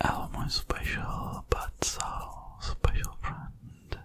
I'm my special but so special friend.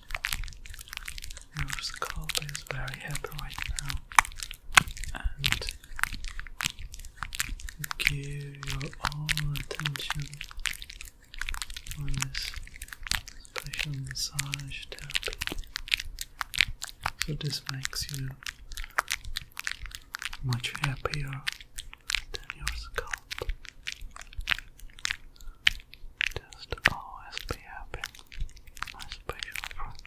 Your scalp is very happy right now and give your all attention on this special massage therapy. So this makes you much happier than your scalp. Just always be happy, my special friend.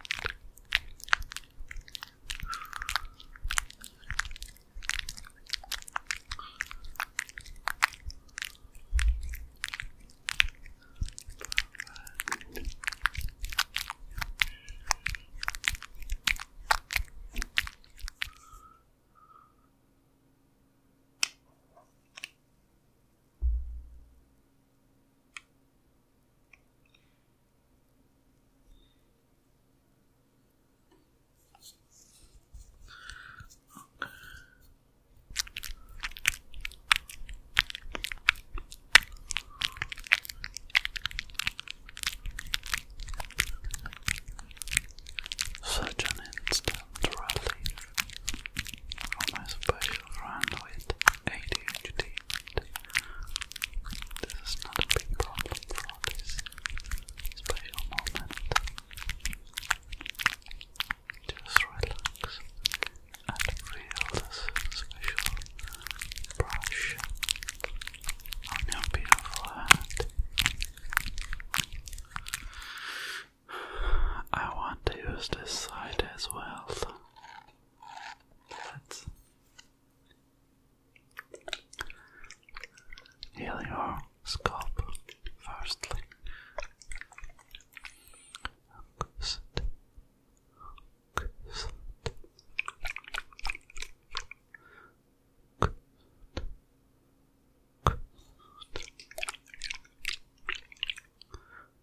Okay. Such an instant rally my special friend with ADHD. This is not a big problem for this special moment. Just relax and feel this special brush on your beautiful hand. I want to use this side as well. Let's heal your scalp firstly.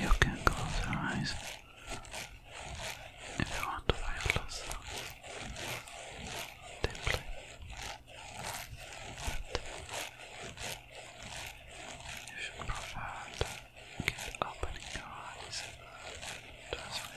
You can close your eyes if you want to feel less deeply. But you should prefer to keep opening your eyes. Trust me.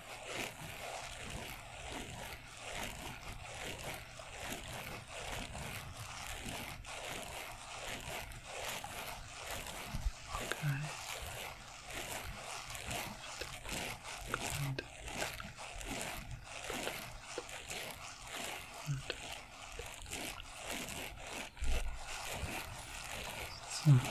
Okay. Good. Good. Good. So. Okay.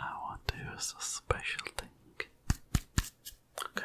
I want to use a special thing. Okay.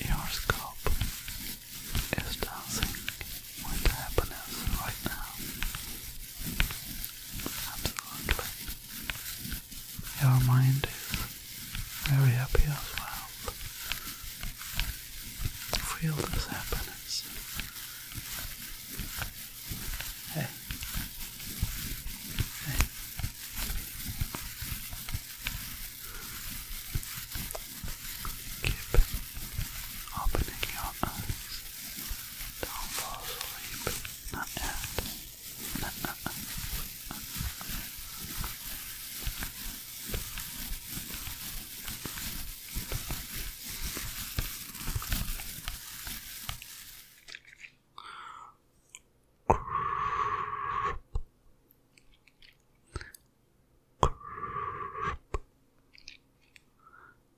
Your scalp is dancing with happiness right now. Absolutely. Your mind is very happy as well. Feel this happiness. Hey. Hey. Keep opening your eyes. Don't fall asleep. Not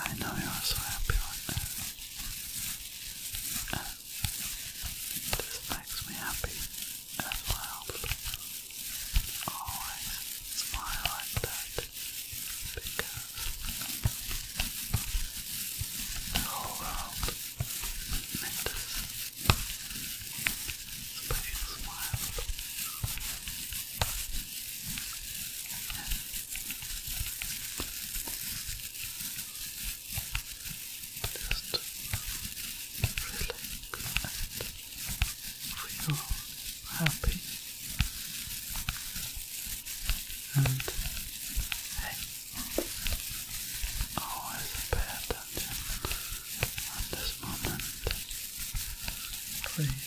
I know you're so happy this makes me happy as well. Always smile like that because the whole world matters. So you smile. Just relax and feel happy and hey, always pay attention at this moment, please.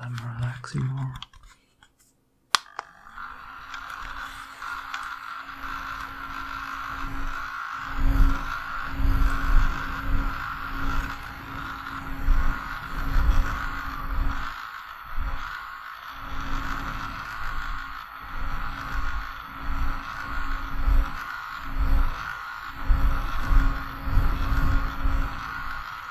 I'm relaxing more.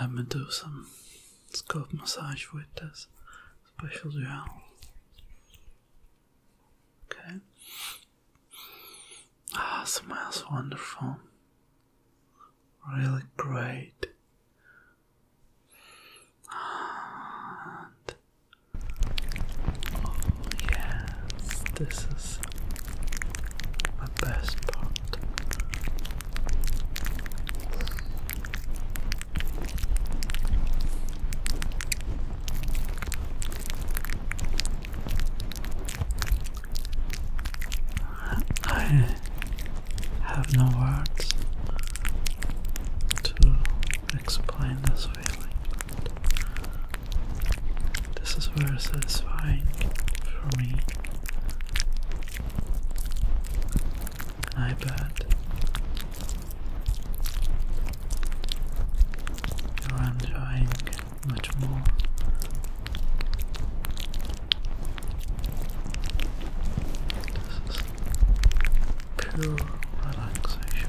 Let me do some scalp massage with this special gel. Okay. Ah, smells wonderful really great. And oh yes, this is my best part. I have no words to explain this feeling, this is very satisfying for me. I bet you're enjoying much more. This is pure relaxation.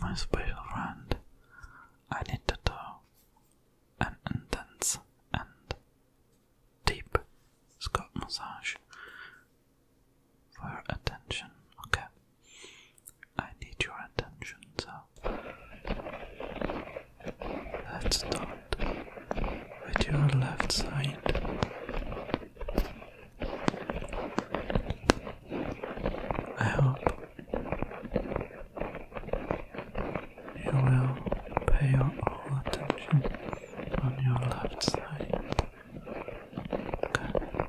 My special friend, I need to do an intense and deep scalp massage for attention. Okay. I need your attention, so let's start with your left side. I hope you will pay your all attention on your left side. Okay.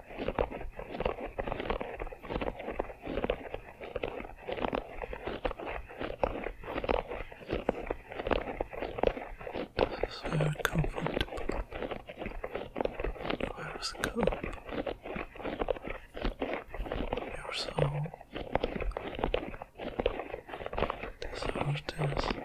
This is very comfortable. Where is the cup? Your soul. This heart is relaxation.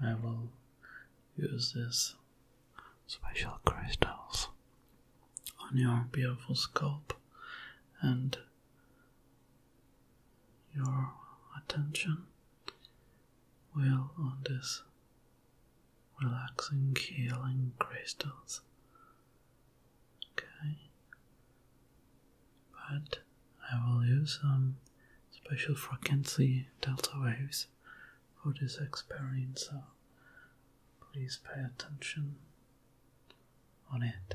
I will use these special crystals on your beautiful scalp and your attention will on these relaxing healing crystals okay but I will use some um, special frequency delta waves for this experience. so please pay attention on it.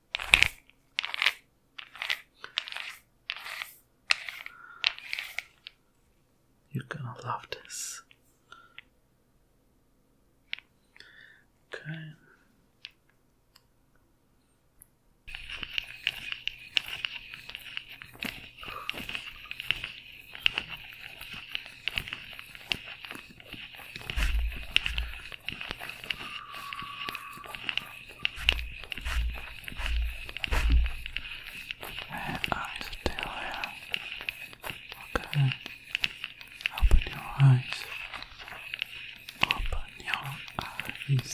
You're gonna love this. Okay. Red eyes still here. Okay. Open your eyes. Open your eyes.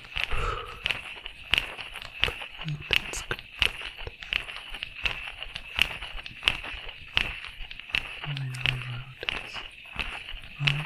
That's good. I know how it is. Right.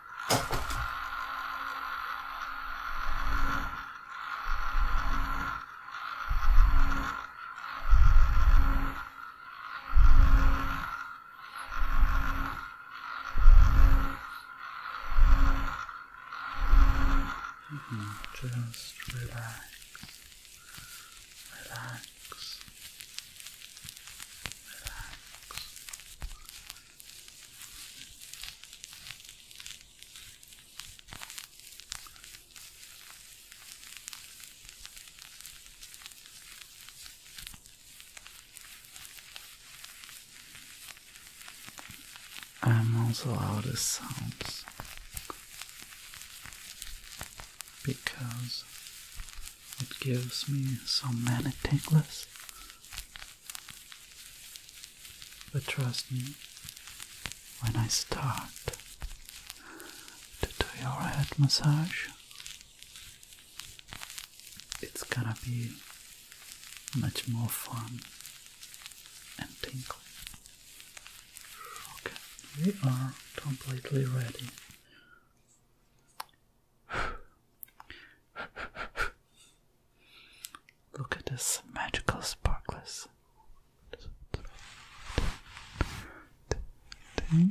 Mm -hmm. Just relax, relax, relax, I'm also out this sounds because it gives me so many tingles but trust me, when I start to do your head massage, it's gonna be much more fun and tingling. Okay, we are completely ready. Look at this magical sparkles. okay.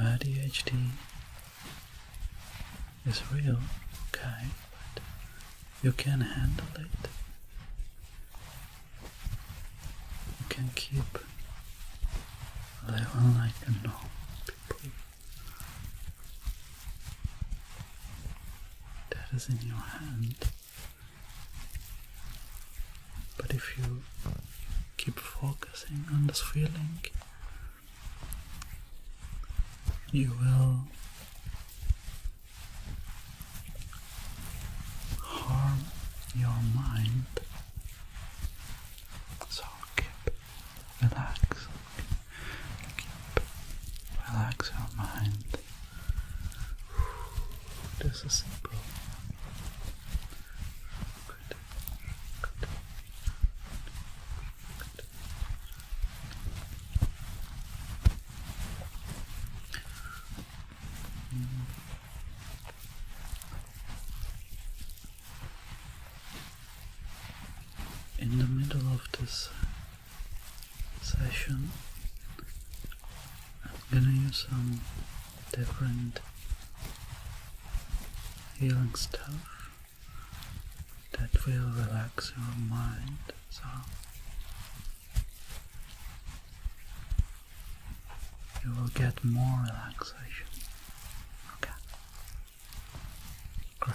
ADHD is real, okay, but you can handle it. You can keep living like normal people. That is in your hand. But if you keep focusing on this feeling, you will harm your mind. So keep relaxing, keep relax your mind. This is simple. Good. Mm. In the middle of this session I'm gonna use some different healing stuff that will relax your mind so you will get more relaxation. Okay. Great.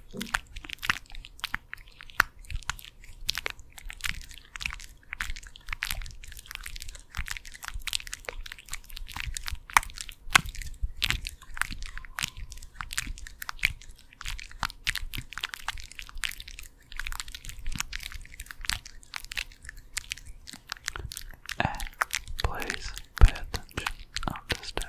And please pay attention on the step.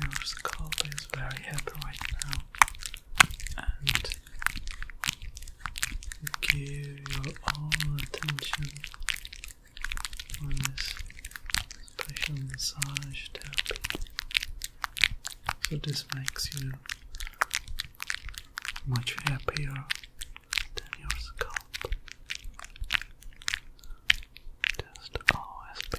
Your scalp is very happy right now, and give your all attention on this special massage table. So this makes you much happier than your scalp. Just always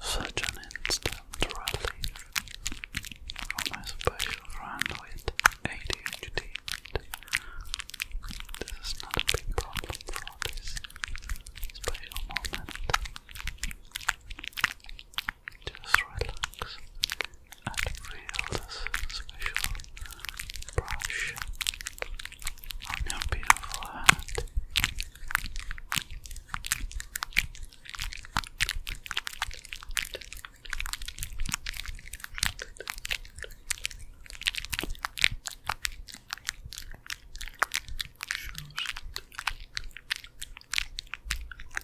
Such an instant relief my special friend with ADHD. This is not a big problem for this special moment. Just relax and feel this special brush on your beautiful hand.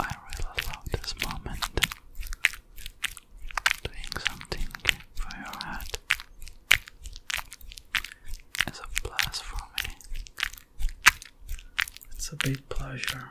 I really love this moment. Doing something for your head is a plus for me. It's a big pleasure.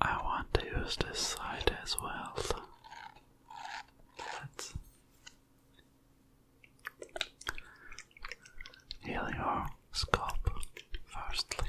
I want to use this side as well. Let's heal your scalp firstly.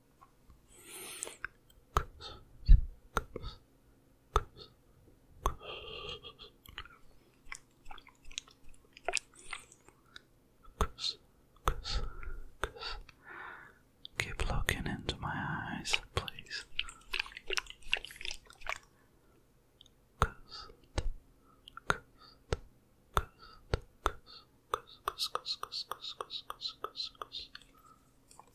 Keep looking into my eyes, please.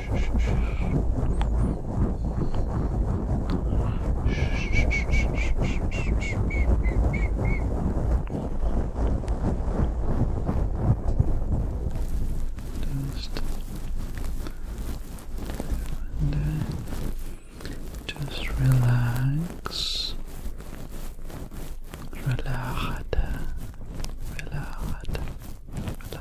Just, and, uh, just relax, relax, relax, relax.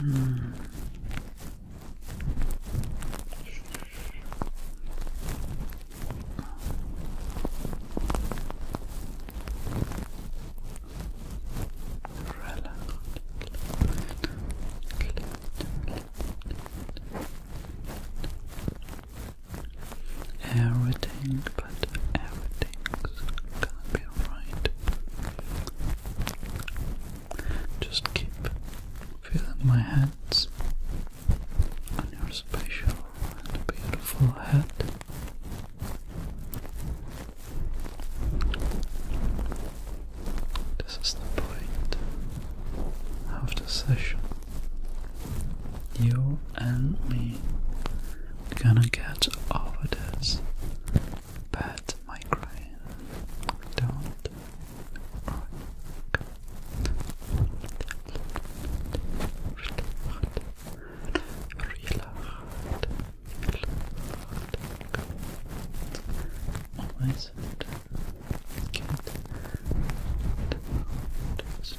Mm. Everything, but everything's going be alright. Just keep feeling my hands on your special and beautiful head. This is the point of the session. You and me gonna get over this Bad migraine. Don't rock. Relaxed. Always get just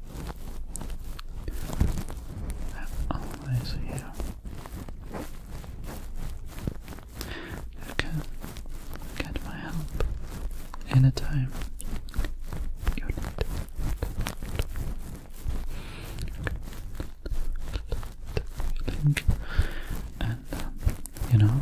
They're always here. You can get my help anytime you need and um, you know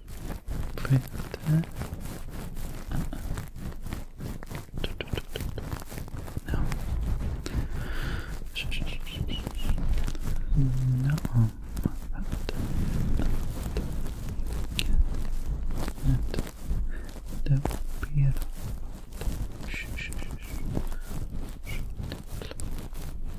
printer. Uh -uh. No. No. The beer.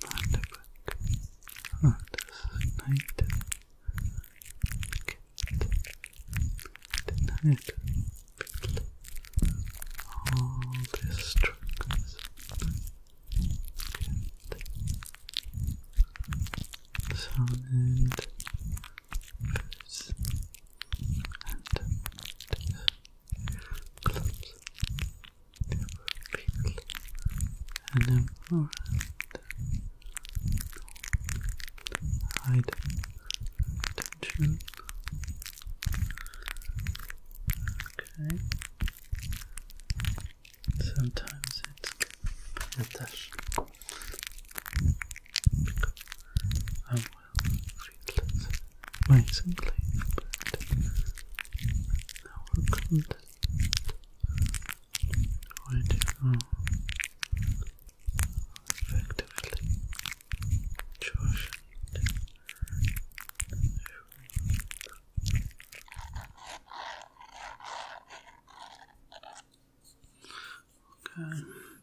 Vanderburg, Andersonite, Kent, Denied, Fiddle, all these struggles, Kent, Sound, First, and important hide tension. Okay. Sometimes it's attached I will relax myself, but I will content what you effectively Josh Okay.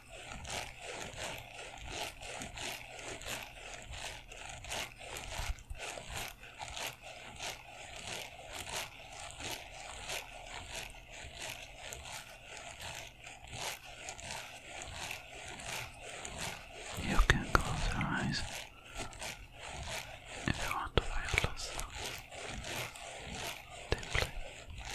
You can close your eyes if you want to find loss. Deeply.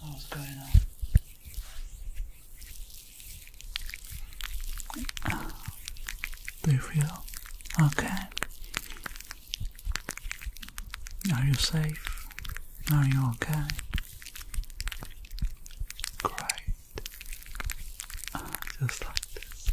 what was going on. Do you feel okay? Are you safe? Are you okay? Great. Just like this.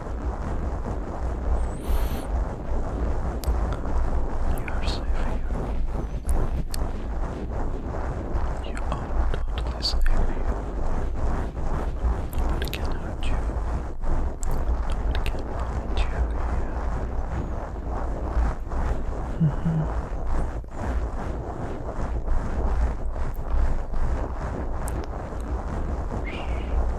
You are safe here. You are totally safe here. Nobody can hurt you. Nobody can find you here. Mm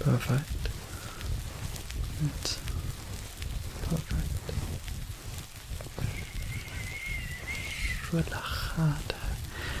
Perfect. It's perfect. Relajada.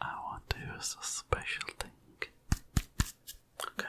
I want to use a special thing. Okay.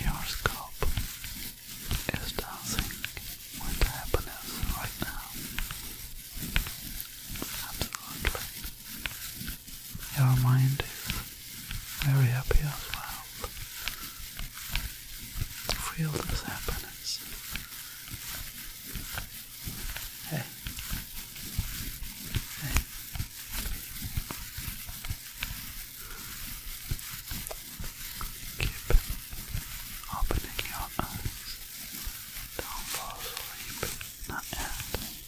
Your scalp is dancing with happiness right now. Absolutely your mind is very happy as well. Feel this happiness. Hey. Hey. Keep opening your eyes. Don't fall asleep.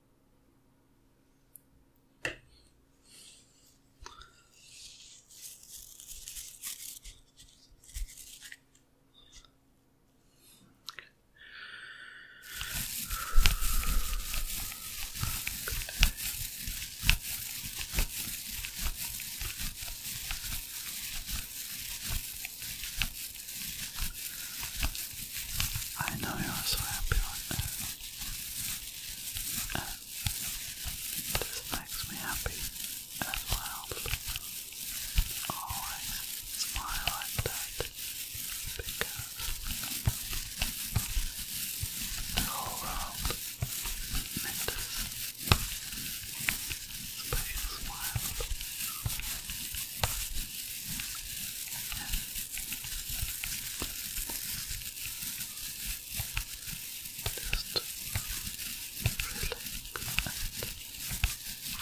I know you're so happy right now and this makes me happy as well. Always smile like that because the whole world matters. Special smile. Just relax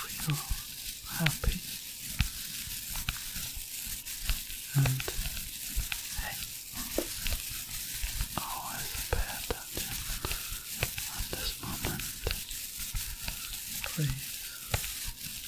and feel happy and hey, always pay attention this moment. Please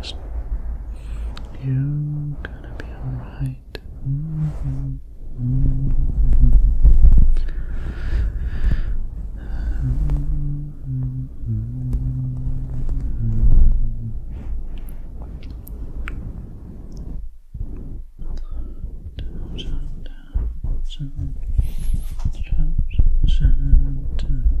Just you gonna be alright. down, down, down, down. Down, down, down, down.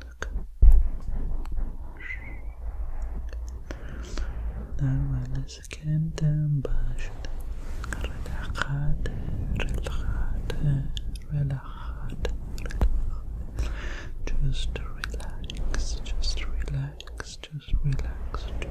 Look. نعمل سكنتم باشد رد خاطر الخاطر relaxed just relax just relax just relax just relax okay.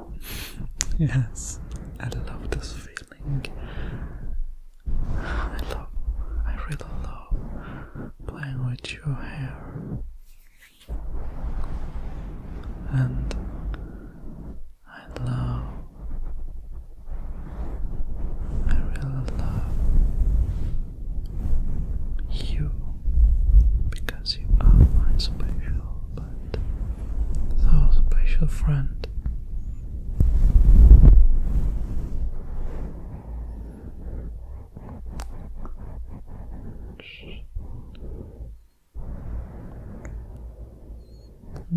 Yes, I love this feeling. I love, I really love playing with your hair. And I love, I really love you because you are my special chocolate, our special friend.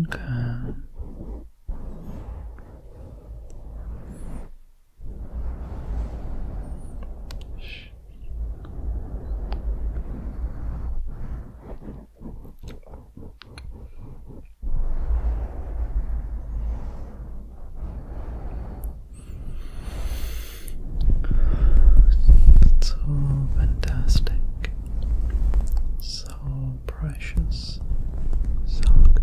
Okay so fantastic, so precious, so good.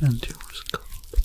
and your scalp as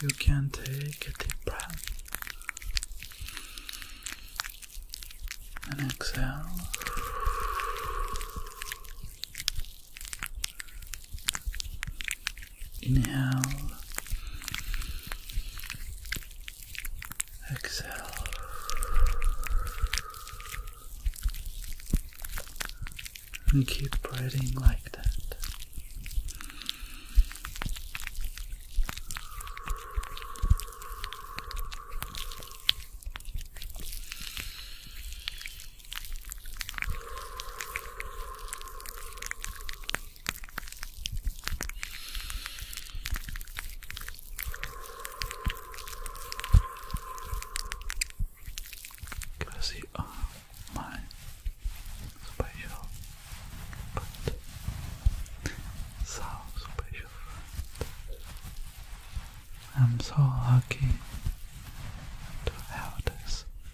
You can take a deep breath and exhale. Inhale. Exhale. And keep breathing like that. Because you are my special, but so special. I'm so lucky to have this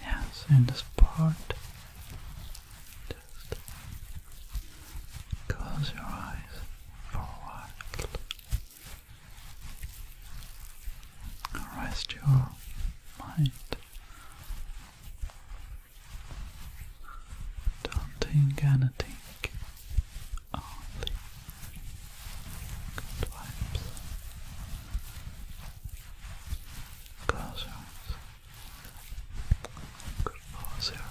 Yes, in this part, just close your eyes for a while. Rest your mind. Don't think and think only good vibes, close your eyes, eyes,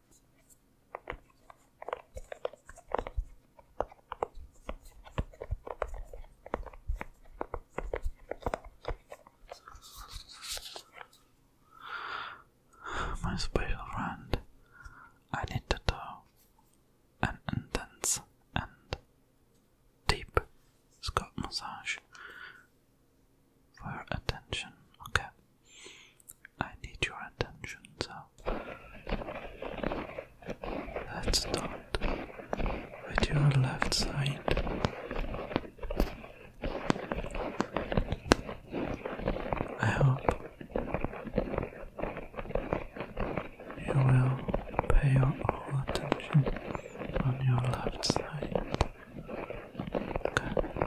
My special friend, I need to do an intense and deep scalp massage for attention, okay? I need your attention, so let's start with your left side. I hope you will pay your all attention on your left side. Okay.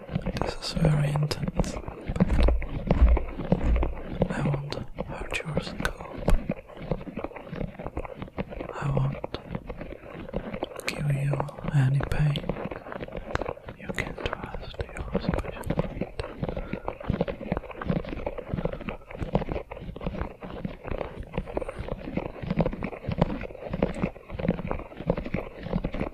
This is very intense. but I won't hurt your scalp. I won't give you any pain. You can trust your specialist.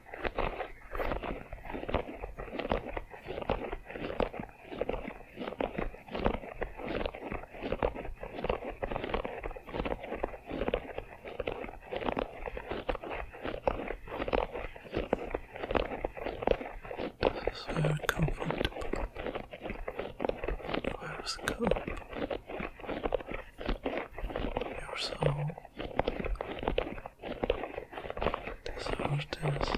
This is very comfortable. Where is the cup? Your soul. This understands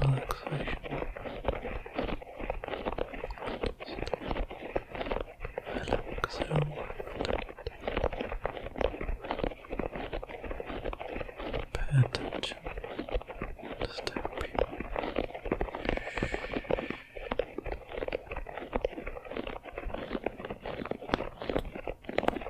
relaxation. Relaxation. Pay attention to step people. Relax.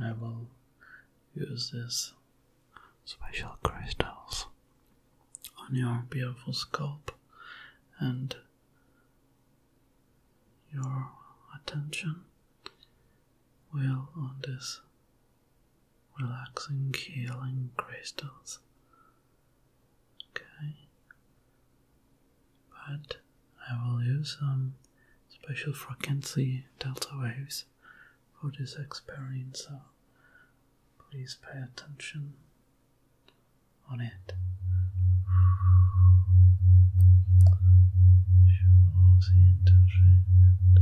I will use this special crystals on your beautiful scalp and your attention will on this relaxing, healing crystals. Okay, but I will use some special frequency delta waves for this experience, so please pay attention on it.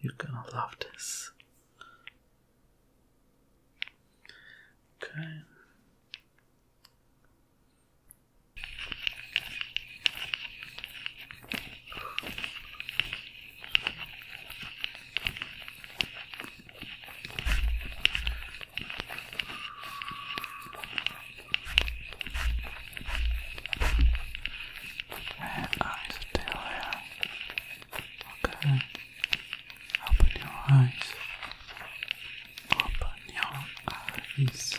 You're gonna love this. Okay. Man, I'm still here. Okay. Open your eyes. Open your eyes.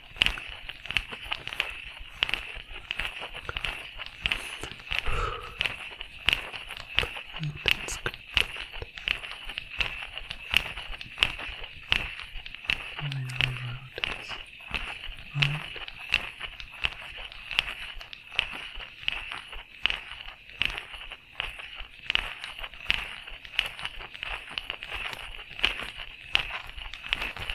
Oh, that's good. I remember how it is. Right.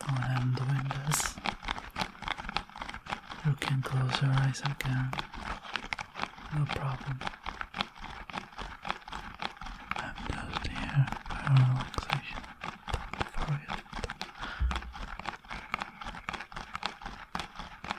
Don't hand the windows. You can close your eyes again. No problem. I'm just here for relaxation. Don't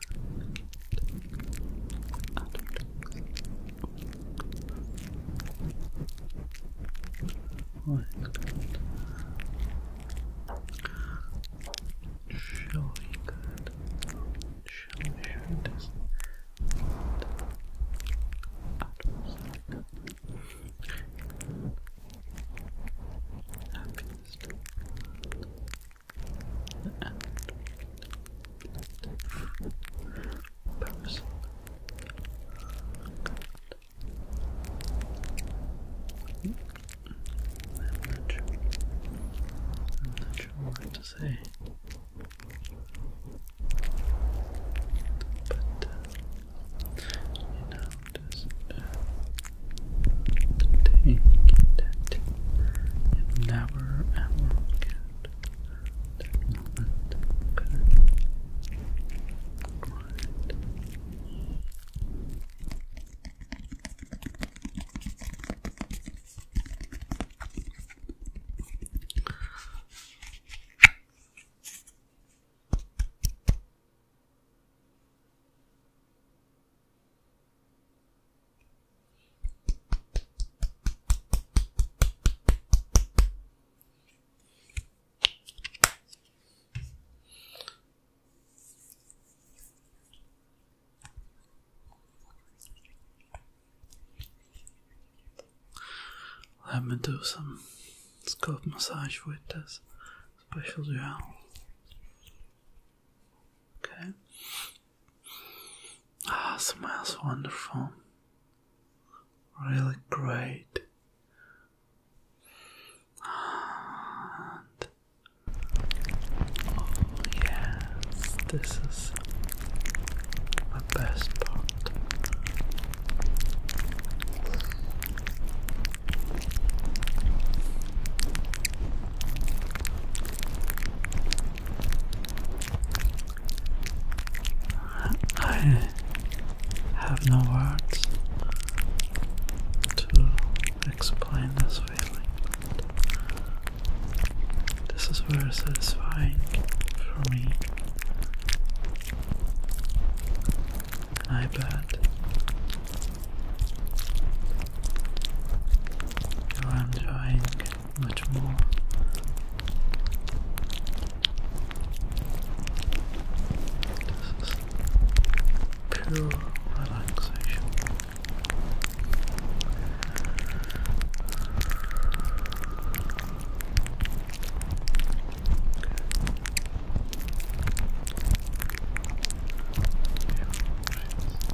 Surely good. Surely sure does Happiest person. I'm not sure. I'm not sure what to say. But uh, you know, take that you never ever forget that moment, okay? Right. Okay. Let me do some scalp massage with this special gel. Okay, Ah, smells wonderful. Really great. And oh yes, this is the best part. I have no words to explain this feeling, this is very satisfying for me. And I I'm drawing much more. This is pure relaxation.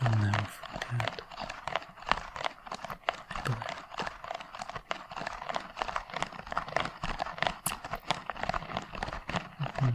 I'll never forget. I believe. Mm -hmm. Okay.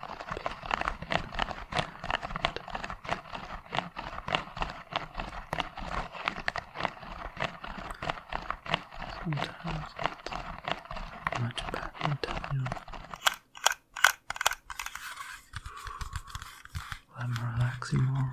Sometimes it's much better than you. I'm relaxing more.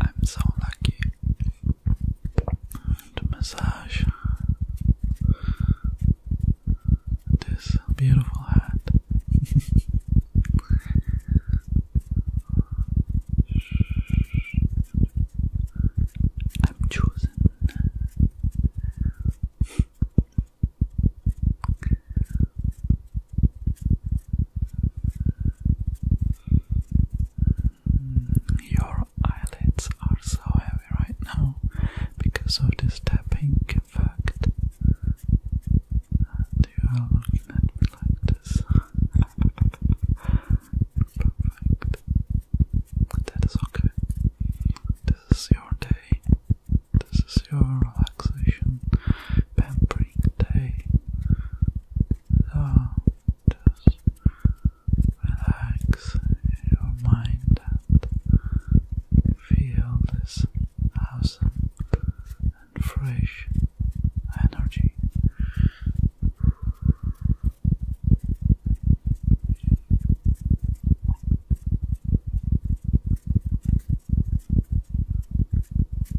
I'm so lucky to massage this beautiful hat. I'm chosen. Your eyelids are so heavy right now because of this tapping effect. And you are looking like this. Perfect. That is okay. This is your day. This is your relaxation pampering day. So just relax your mind and feel this awesome and fresh energy.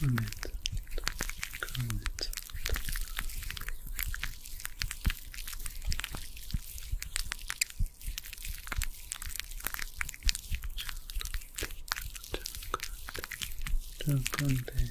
Comment. Comment. Chocolate. Chocolate. Chocolate.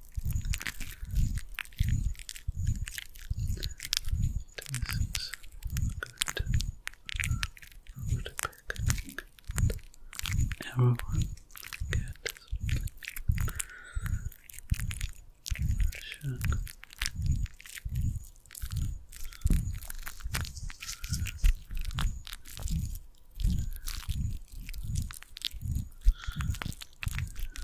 Tastes good. Over the Everyone get Shook.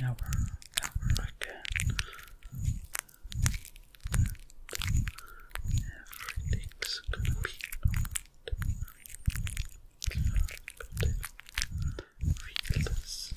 Now we're, Everything's gonna be alright. Relax. Relax.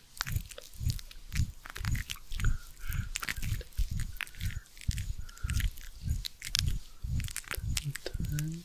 Sometimes Ten. Ten.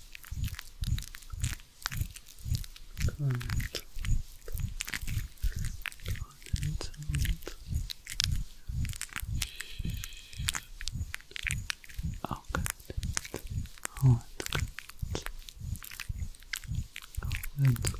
Planet. Planet. Oh, good. Oh, it's good. Oh, it's good.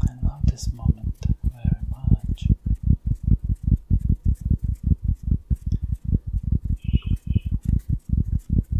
I love this moment very much.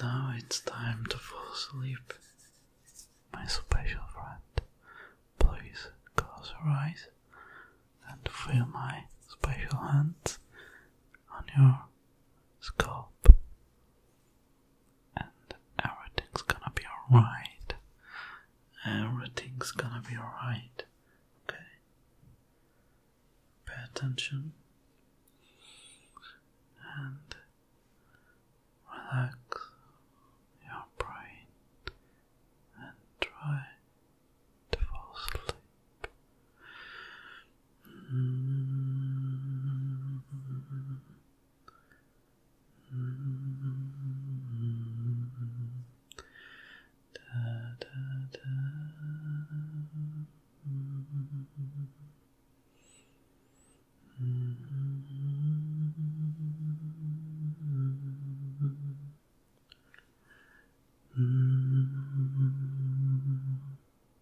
Now it's time to fall asleep. My special friend, please close your eyes and feel my special hands on your scalp and everything's gonna be alright. Everything's gonna be alright. Okay. Pay attention and relax your brain and try to fall asleep. Mm-hmm. Da, da, da. Mm -hmm.